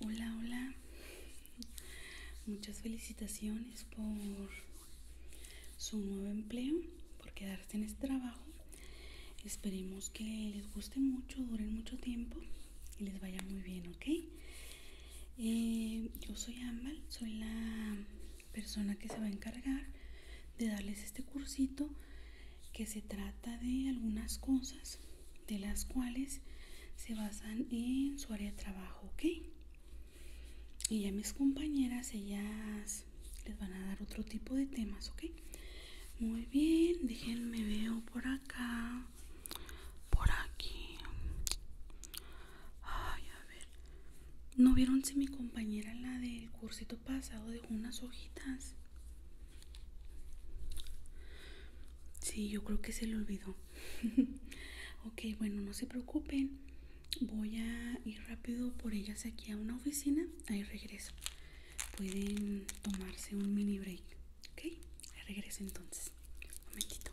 Hola, hola. Muchas felicitaciones por su nuevo empleo, por quedarse en este trabajo. Esperemos que les guste mucho, duren mucho tiempo y les vaya muy bien, ¿ok? Eh, yo soy Ambal, soy la persona que se va a encargar de darles este cursito que se trata de algunas cosas de las cuales se basan en su área de trabajo, ¿ok? Y ya mis compañeras, ellas les van a dar otro tipo de temas, ¿ok? Muy bien, déjenme veo por acá, por aquí. ¿No vieron si mi compañera, la del cursito pasado unas hojitas. Sí, yo creo que se le olvidó. ok, bueno, no se preocupen. Voy a ir rápido por ellas aquí a una oficina. Ahí regreso. Pueden tomarse un mini break. Ok, regreso entonces. momentito.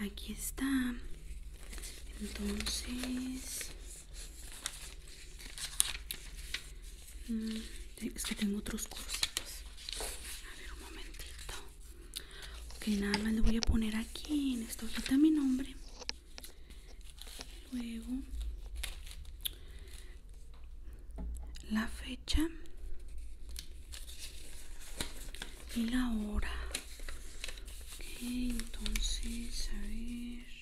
aquí está entonces mm, es que tengo otros cursitos a ver un momentito ok nada más le voy a poner aquí en esta hojita mi nombre luego la fecha y la hora. entonces, a ver.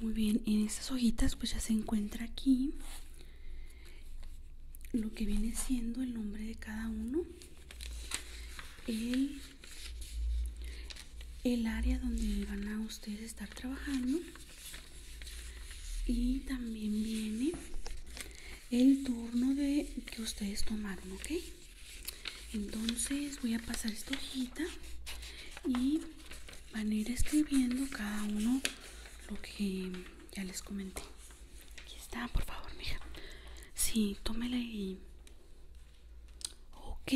Muy bien, en estas hojitas pues ya se encuentra aquí lo que viene siendo el nombre de cada uno el, área donde van a ustedes estar trabajando y también viene el turno de que ustedes tomaron ok entonces voy a pasar esta hojita y van a ir escribiendo cada uno lo que ya les comenté. Aquí está, por favor, mija. Sí, tómela y. Ok,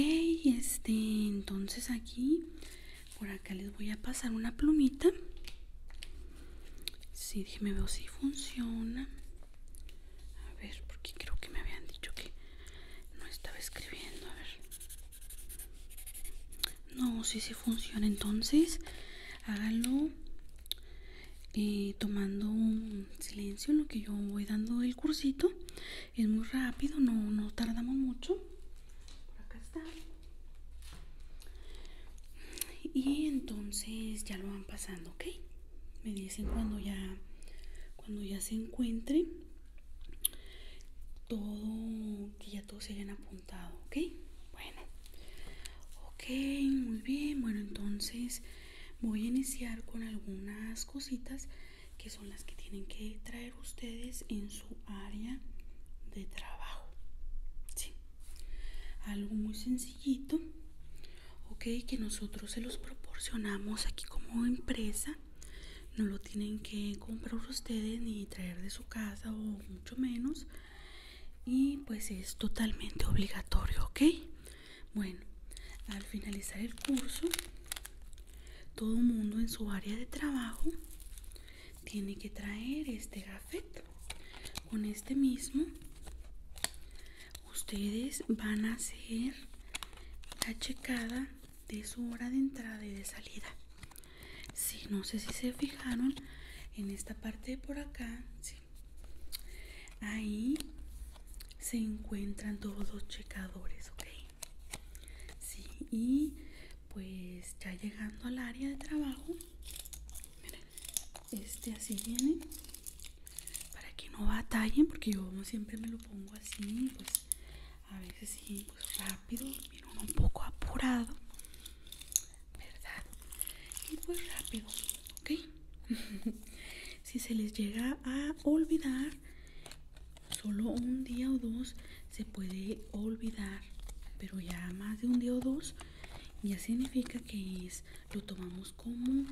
este, entonces aquí, por acá les voy a pasar una plumita. Sí, déjenme veo si funciona. A ver, porque creo que me habían dicho que no estaba escribiendo. A ver. No, si sí, funciona. Entonces, háganlo eh, tomando un silencio en lo que yo voy dando el cursito. Es muy rápido, no, tardamos mucho. acá está. Y entonces ya lo van pasando, ¿ok? Me dicen cuando ya, cuando ya se encuentre todo, que ya todo se a apuntado ¿ok? Bueno, ok, muy bien. Bueno, entonces voy a iniciar con algunas cositas que son las que tienen que traer ustedes en su área de trabajo. algo muy sencillito, ok, que nosotros se los proporcionamos aquí como empresa. No lo tienen que comprar ustedes ni traer de su casa o mucho menos. Y pues es totalmente obligatorio, ¿ok? Bueno, al finalizar el curso, todo mundo en su área de trabajo tiene que traer este gafet. Con este mismo, ustedes van a hacer la checada de su hora de entrada y de salida si no sé si se fijaron en esta parte por acá. Sí. Ahí se encuentran todos los checadores, ¿ok? Sí, y pues ya llegando al área de trabajo, este así viene, para que no batallen, porque yo como siempre me lo pongo así, pues a veces sí pues rápido uno un poco apurado verdad y pues rápido ok si se les llega a olvidar solo un día o dos se puede olvidar pero ya más de un día o dos ya significa que es lo tomamos como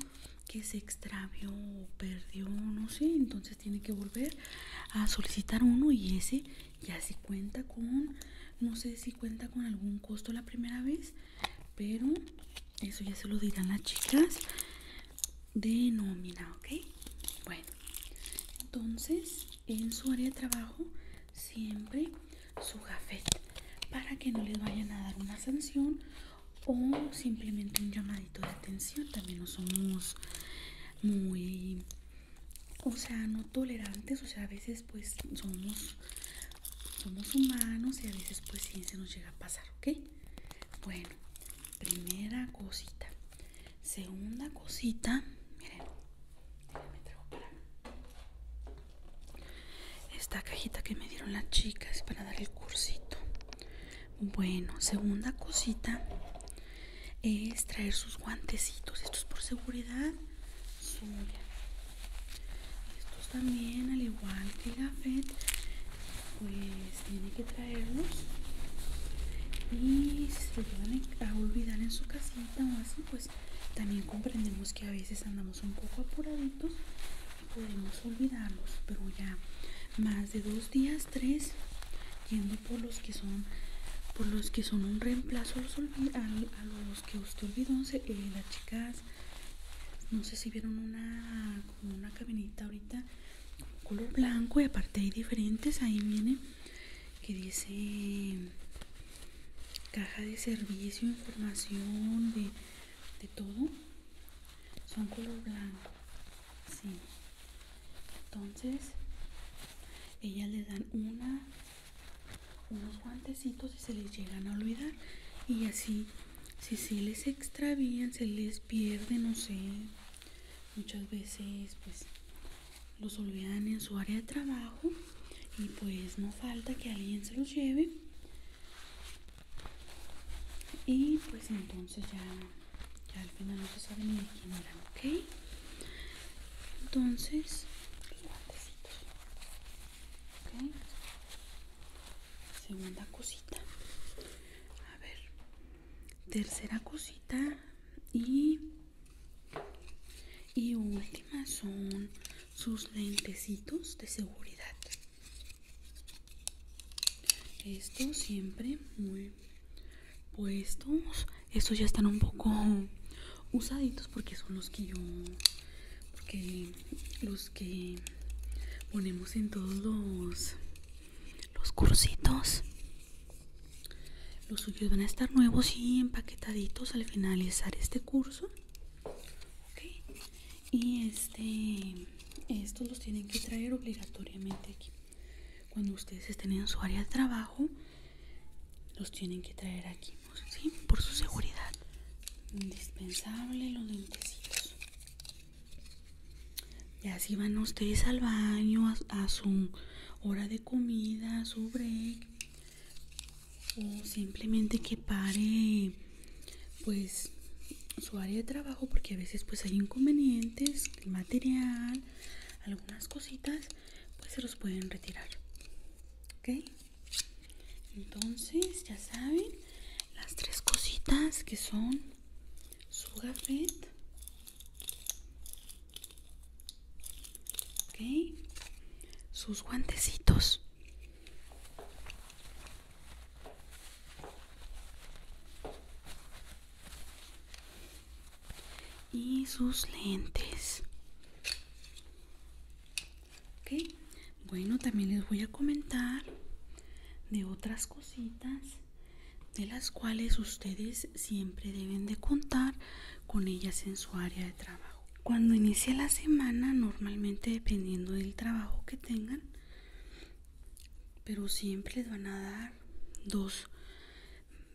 que se extravió o perdió no sé entonces tiene que volver a solicitar uno y ese ya así cuenta con no sé si cuenta con algún costo la primera vez pero eso ya se lo dirán las chicas de nómina ok bueno entonces en su área de trabajo siempre su gafete para que no les vayan a dar una sanción o simplemente un llamadito de atención también no somos muy o sea, no tolerantes, o sea, a veces pues somos, somos humanos y a veces pues sí se nos llega a pasar, ¿ok? Bueno, primera cosita. Segunda cosita, miren, Esta cajita que me dieron las chicas para dar el cursito. Bueno, segunda cosita es traer sus guantecitos. estos por seguridad suya. Estos también, al igual que la pues tiene que traerlos. Y si se van a olvidar en su casita o así, pues también comprendemos que a veces andamos un poco apuraditos y podemos olvidarlos, pero ya más de dos días tres yendo por los que son por los que son un reemplazo a los, que usted olvidó eh, las chicas no sé si vieron una como una cabinita ahorita color blanco y aparte hay diferentes ahí viene que dice caja de servicio información de, de todo son color blanco sí. entonces ellas le dan una unos guantecitos y se les llegan a olvidar y así si se les extravían se les pierde no sé muchas veces pues los olvidan en su área de trabajo y pues no falta que alguien se los lleve y pues entonces ya ya al final no se sabe ni quién eran, ¿ok? Entonces, guantecitos, ¿ok? Segunda cosita, a ver, tercera cosita y y última son sus lentecitos de seguridad. Esto siempre muy puestos. Estos ya están un poco usaditos porque son los que yo, porque los que ponemos en todos los, los cursitos. Los suyos van a estar nuevos y empaquetaditos al finalizar este curso. Y este, estos los tienen que traer obligatoriamente aquí. Cuando ustedes estén en su área de trabajo, los tienen que traer aquí, ¿sí? Por su seguridad. Indispensable los dentecitos. Y así van ustedes al baño, a, a su hora de comida, a su break. O simplemente que pare, pues, su área de trabajo, porque a veces pues hay inconvenientes el material, algunas cositas, pues se los pueden retirar. ¿Ok? Entonces, ya saben, las tres cositas que son su gafet. ¿Ok? Sus guantecitos y sus lentes. bueno, también les voy a comentar de otras cositas de las cuales ustedes siempre deben de contar con ellas en su área de trabajo. Cuando inicia la semana, normalmente dependiendo del trabajo que tengan, pero siempre les van a dar dos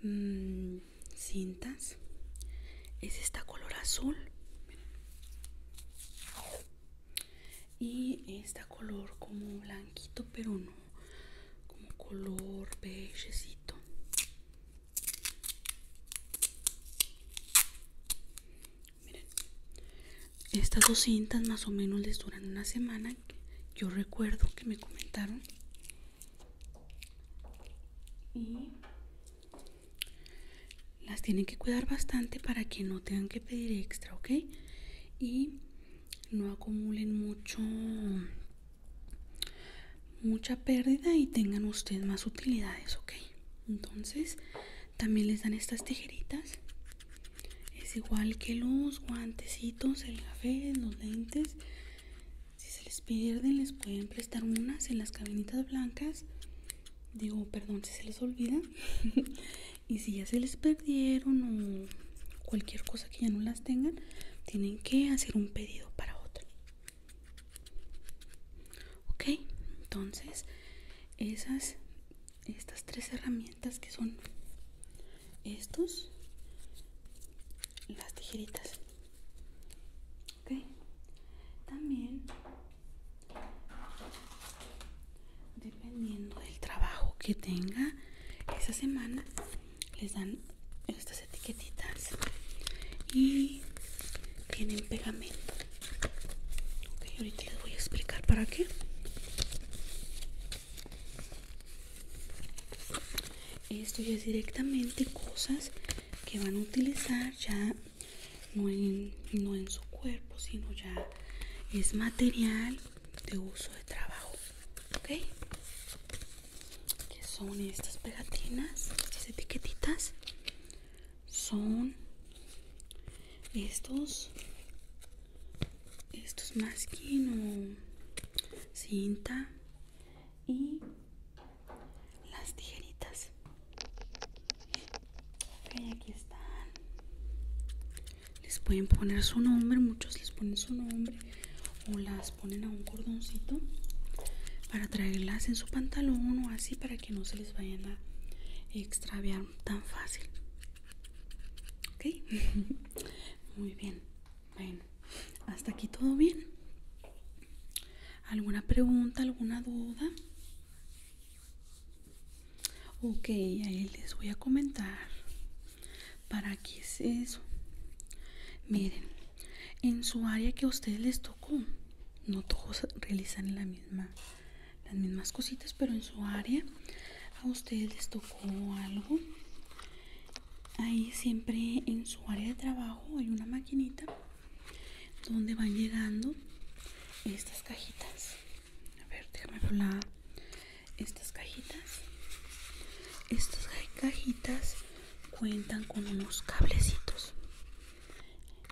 mm, cintas es esta color azul y esta color como blanquito pero no como color pechecito miren estas dos cintas más o menos les duran una semana. Yo recuerdo que me comentaron. Y las tienen que cuidar bastante para que no tengan que pedir extra, ¿ok? Y no acumulen mucho mucha pérdida y tengan ustedes más utilidades, ¿ok? Entonces, también les dan estas tijeritas es igual que los guantecitos el café los lentes si se les pierden les pueden prestar unas en las cabinitas blancas digo perdón si se les olvida y si ya se les perdieron o cualquier cosa que ya no las tengan tienen que hacer un pedido para otro ok entonces esas estas tres herramientas que son estos las tijeritas ok también dependiendo del trabajo que tenga esa semana les dan estas etiquetitas y tienen pegamento ahorita les voy a explicar para qué esto ya es directamente cosas que van a utilizar ya no en, su cuerpo, sino ya es material de uso de trabajo. ¿Ok? Que son estas pegatinas, estas etiquetitas. Son estos estos que no cinta y las tijeritas Y aquí están les pueden poner su nombre muchos les ponen su nombre o las ponen a un cordoncito para traerlas en su pantalón o así para que no se les vayan a extraviar tan fácil Ok, muy bien. hasta aquí todo bien. ¿Alguna pregunta, alguna duda? Ok, ahí les voy a comentar. ¿Para qué es eso? Miren, en su área que a ustedes les tocó, no todos realizan la misma las mismas cositas pero en su área a ustedes les tocó algo ahí siempre en su área de trabajo hay una maquinita donde van llegando estas cajitas a ver déjame por estas cajitas estas cajitas cuentan con unos cablecitos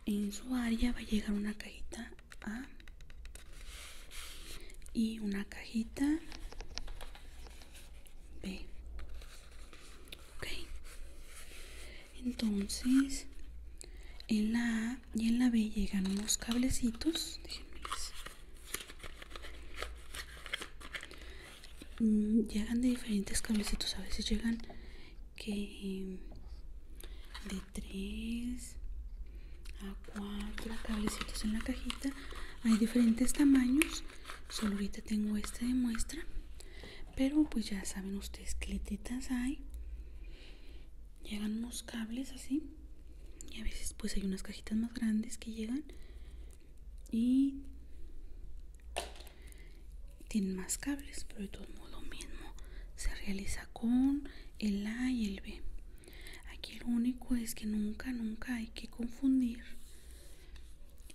en su área va a llegar una cajita Ah. y una cajita B. Entonces, en la A y en la B llegan unos cablecitos. Mm, llegan de diferentes cablecitos. A veces llegan que de 3 a 4 cablecitos en la cajita hay diferentes tamaños solo ahorita tengo este de muestra pero pues ya saben ustedes que hay llegan unos cables así y a veces pues hay unas cajitas más grandes que llegan y tienen más cables pero de todo modo lo mismo se realiza con el A y el B. Aquí lo único es que nunca, nunca hay que confundir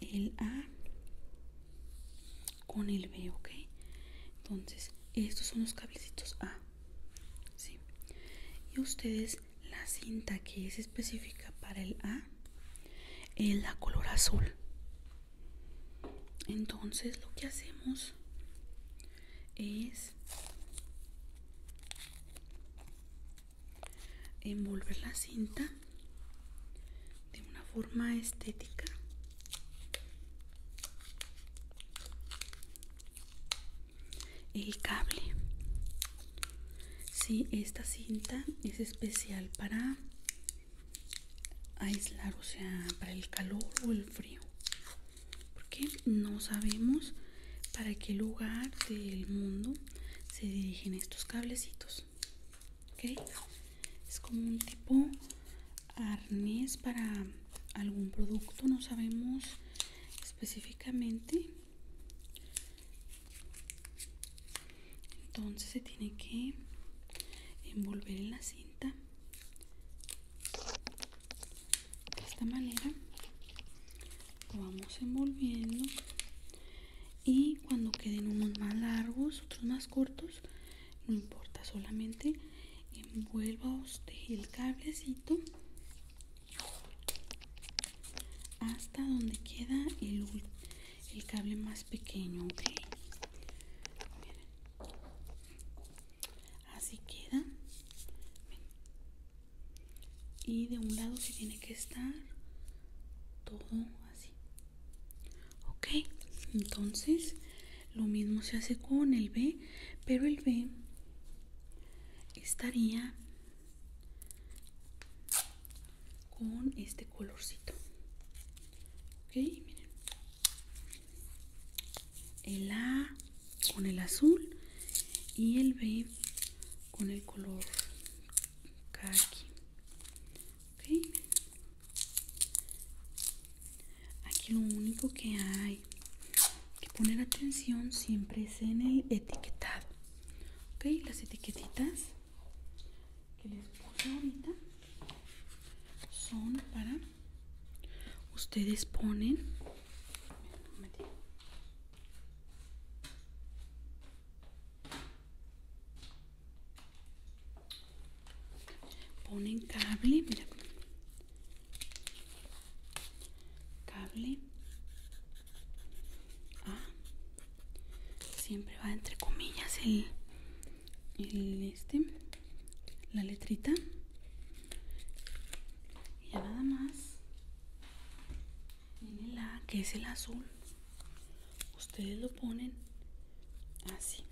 el A con el B, ¿ok? Entonces, estos son los cabecitos A. Y ustedes, la cinta que es específica para el A es la color azul. Entonces, lo que hacemos es envolver la cinta de una forma estética el cable si esta cinta es especial para aislar o sea para el calor o el frío porque no sabemos para qué lugar del mundo se dirigen estos cablecitos. Es como un tipo arnés para algún producto, no sabemos específicamente. Entonces se tiene que envolver en la cinta de esta manera lo vamos envolviendo y cuando queden unos más largos otros más cortos no importa solamente envuelva usted el cablecito hasta donde queda el, cable más pequeño ok así queda y de un lado se tiene que estar todo así ok entonces lo mismo se hace con el b pero el b estaría con este colorcito ok el A con el azul y el B con el color Kaki aquí lo único que hay que poner atención siempre es en el etiquetado las etiquetitas que les puse ahorita son para ustedes ponen ponen cable cable ah. siempre va entre comillas el el este la letrita y nada más el la que es el azul ustedes lo ponen así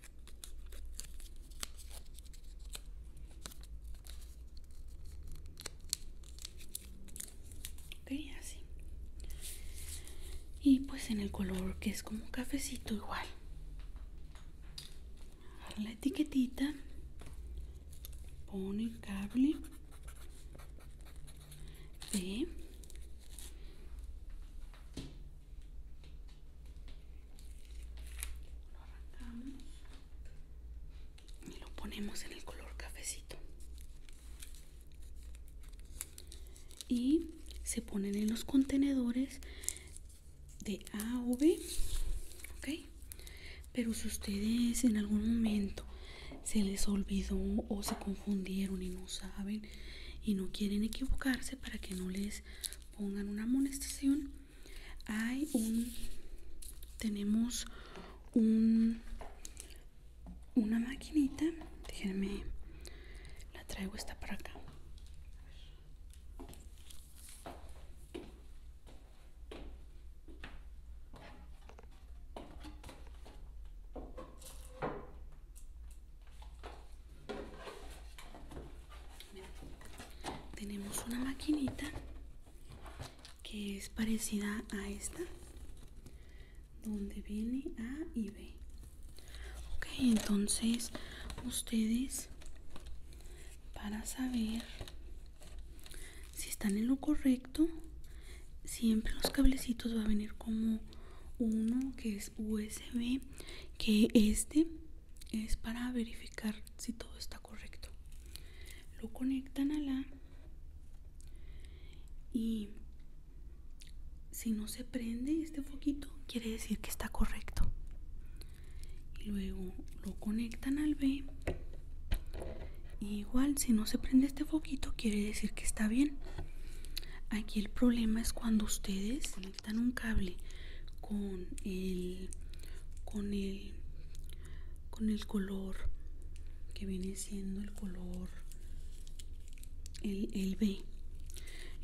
así y pues en el color que es como un cafecito igual la etiquetita pone cable de lo y lo ponemos en el color cafecito y se ponen en los contenedores de A o B, ¿ok? Pero si ustedes en algún momento se les olvidó o se confundieron y no saben y no quieren equivocarse para que no les pongan una amonestación, hay un, tenemos un, una maquinita, déjenme la traigo esta para acá. tenemos una maquinita que es parecida a esta donde viene A y B ok entonces ustedes para saber si están en lo correcto siempre los cablecitos va a venir como uno que es usb que este es para verificar si todo está correcto lo conectan a la y si no se prende este foquito, quiere decir que está correcto. Y luego lo conectan al B. igual, si no se prende este foquito, quiere decir que está bien. Aquí el problema es cuando ustedes conectan un cable con el con el con el color que viene siendo el color el, B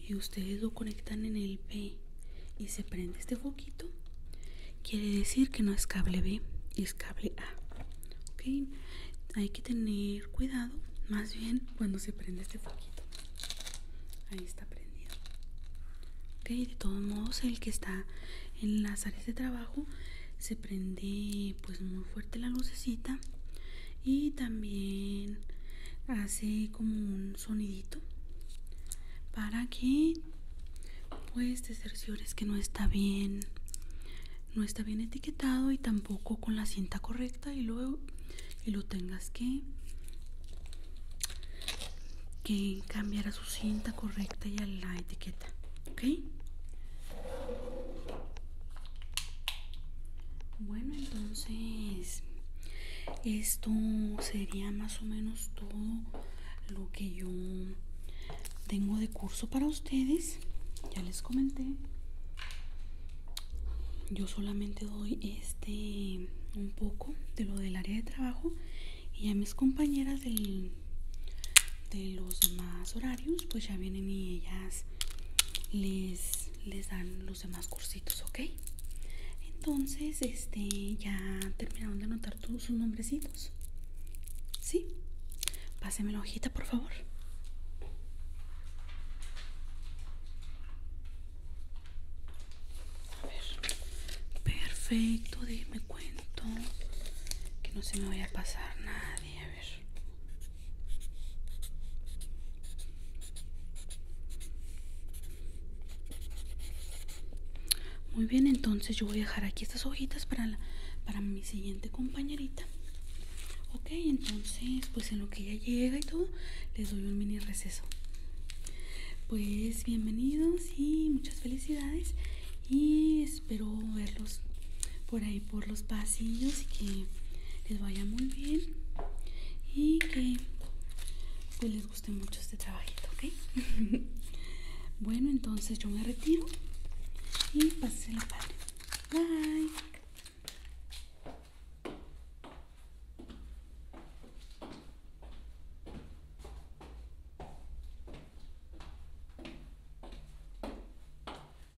y ustedes lo conectan en el B y se prende este foquito quiere decir que no es cable B es cable A ok hay que tener cuidado más bien cuando se prende este foquito ahí está prendido ok de todos modos el que está en las áreas de trabajo se prende pues muy fuerte la lucecita y también hace como un sonidito para que pues te cerciores que no está bien no está bien etiquetado y tampoco con la cinta correcta y luego y lo tengas que que cambiar a su cinta correcta y a la etiqueta ok bueno, entonces esto sería más o menos todo lo que yo tengo de curso para ustedes. Ya les comenté. Yo solamente doy este un poco de lo del área de trabajo y a mis compañeras del, de los demás horarios pues ya vienen y ellas les les dan los demás cursitos, ¿ok? Entonces, este, ya terminaron de anotar todos sus nombrecitos. ¿Sí? Pásenme la hojita, por favor. A ver. Perfecto, dime, cuento. Que no se me vaya a pasar nadie. A ver. Muy bien, entonces yo voy a dejar aquí estas hojitas para, para mi siguiente compañerita. Ok, entonces, pues en lo que ya llega y todo, les doy un mini receso. Pues bienvenidos y muchas felicidades y espero verlos por ahí por los pasillos y que les vaya muy bien y que pues, les guste mucho este trabajito, ¿ok? bueno, entonces yo me retiro y la padre. Bye.